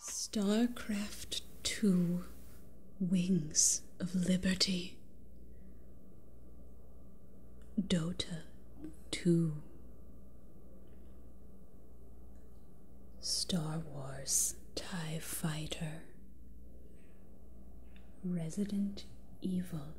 Starcraft 2 Wings of Liberty Dota 2 Star Wars TIE Fighter Resident Evil,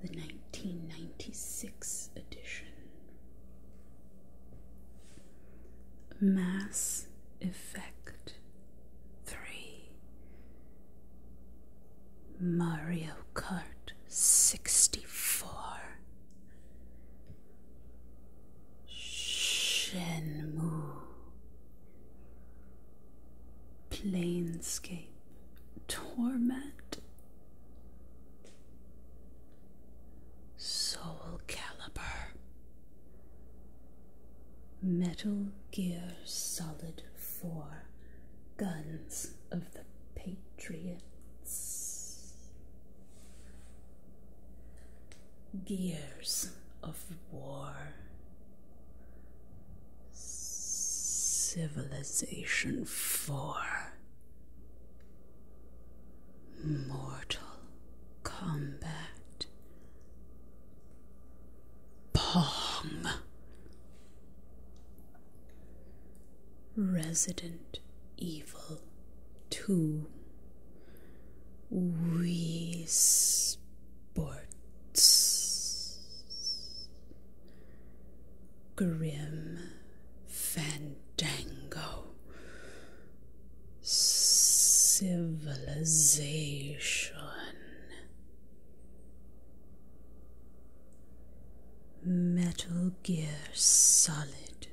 the 1996 edition. Mass Effect 3. Mario Kart 64. Shenmue. plainscape, Torment. Soul Caliber. Metal Gear Solid 4 Guns of the Patriots gears of war, Civilization 4, Mortal Combat, Pong, Resident Evil 2. Wii Sports Grim Fandango Civilization Metal Gear Solid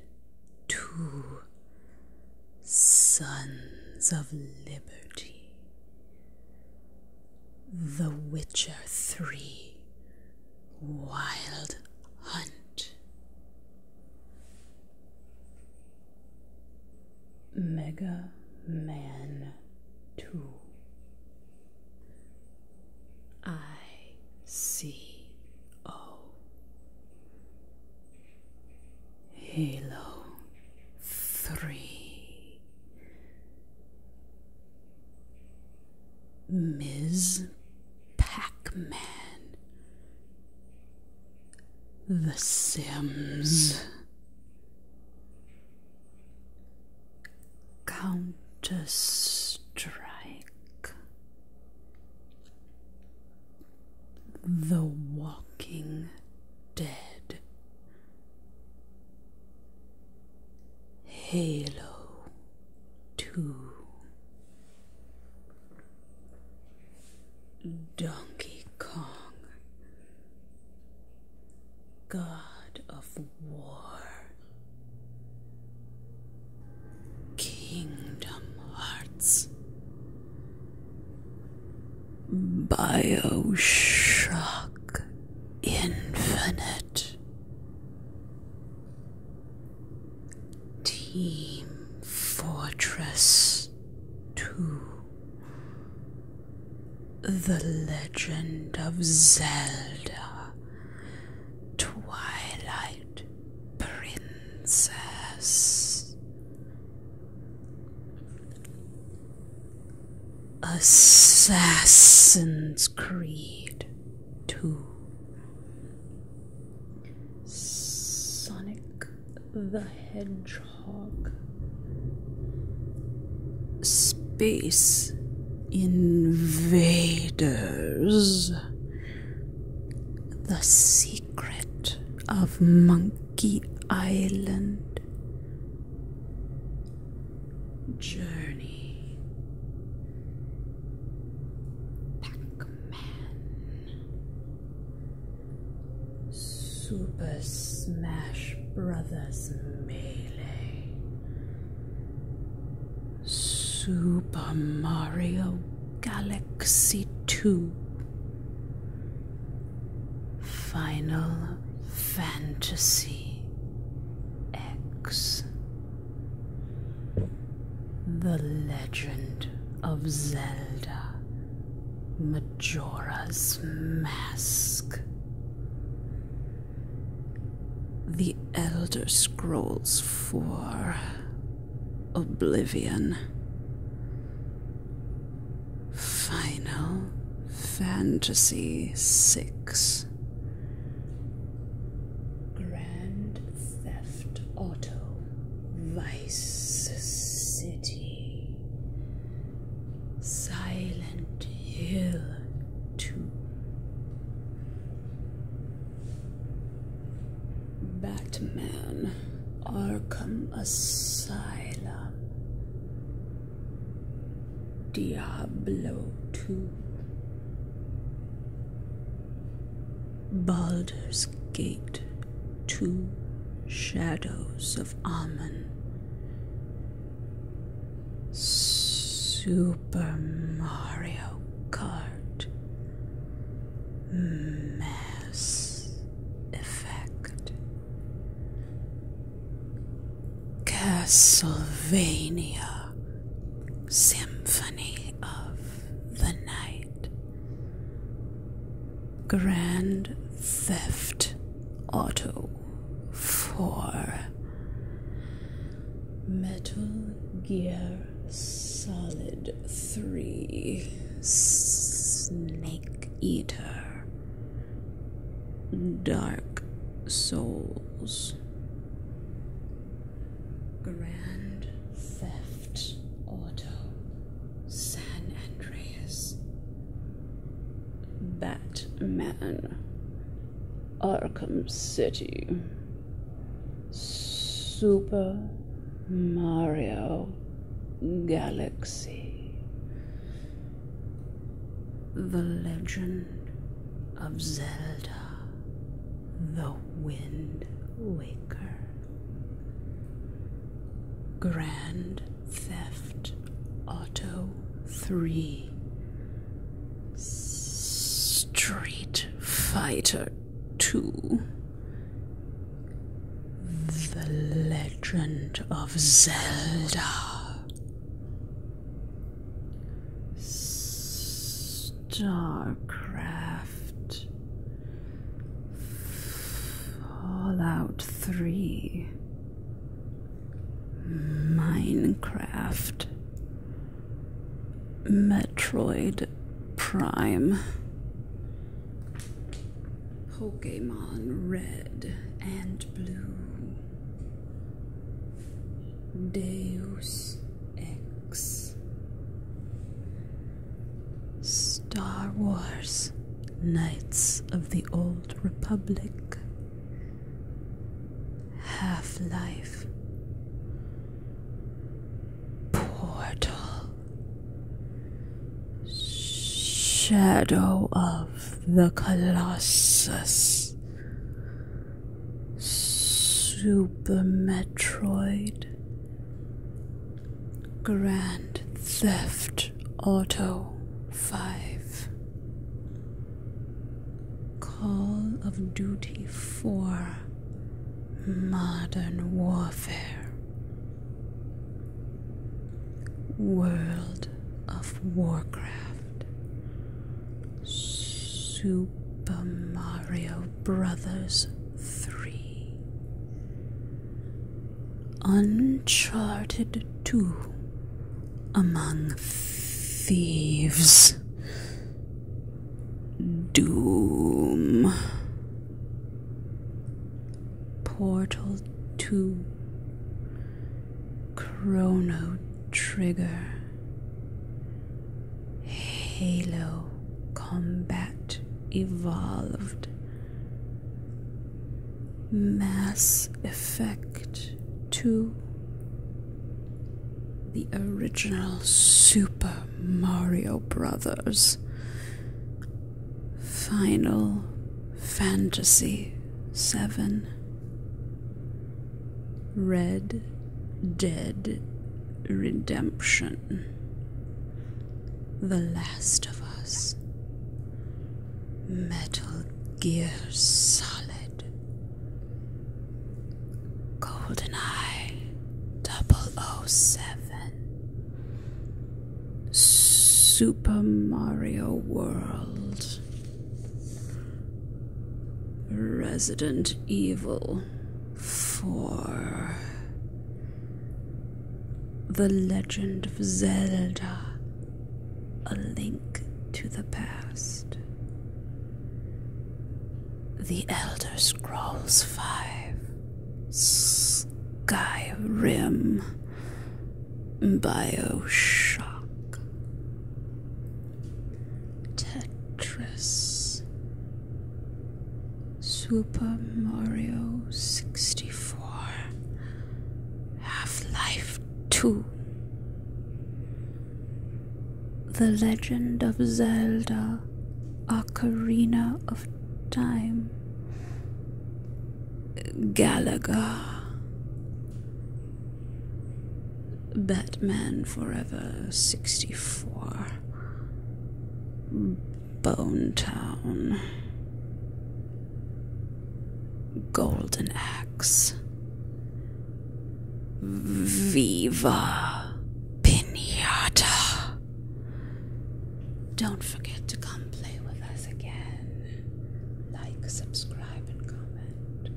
2 Sons of Liberty, The Witcher 3 Wild Hunt. Mega Man 2. I C O Halo 3 Ms. Pac Man The Sims Counter Strike the Walking Dead Halo 2 Donkey Kong God of War Kingdom Hearts. Bioshock Infinite. Team Fortress 2. The Legend of Zelda. Twilight princess. Assassin's Creed 2 Sonic the Hedgehog Space Invaders the secret of Monkey Island. Journey. Pac Man. Super Smash Brothers Melee. Super Mario Galaxy 2 Final Fantasy X The Legend of Zelda Majora's Mask the Elder Scrolls 4 Oblivion. Final Fantasy 6. Grand Theft Auto Vice City. Silent heal too. Batman Arkham Asylum Diablo 2 Baldur's Gate 2 Shadows of Ammon Super Mario Kart Mass Effect Castlevania Symphony of the Night Grand Theft Auto 4 Metal Gear Solid 3 Snake Eater Dark Souls Grand Theft Auto San Andreas Batman Arkham City Super Mario Galaxy The Legend of Zelda The Wind Waker Grand Theft Auto 3 Street Fighter 2 The Legend of Zelda StarCraft Fallout 3 Minecraft. Metroid Prime. Pokemon Red and Blue. Deus Ex. Star Wars Knights of the Old Republic. Half life. Portal. Shadow of the Colossus. Super Metroid. Grand Theft Auto 5, Call of Duty 4, Modern Warfare, World of Warcraft, Super Mario Brothers 3. Uncharted 2 Among Thieves Doom Portal 2 Chrono Trigger Halo Combat Evolved Mass Effect 2 The original Super Mario Brothers Final Fantasy 7 Red Dead Redemption the Last of Us, Metal Gear Solid, GoldenEye 007, Super Mario World, Resident Evil 4. The Legend of Zelda A Link to the Past. The Elder Scrolls V Skyrim Bioshock Tetris Super Mario 64 Half Life 2 The Legend of Zelda Ocarina of Time Galaga Batman Forever 64 Bone Town. Golden Axe. Viva Pinata. Don't forget to come play with us again. Like, subscribe, and comment.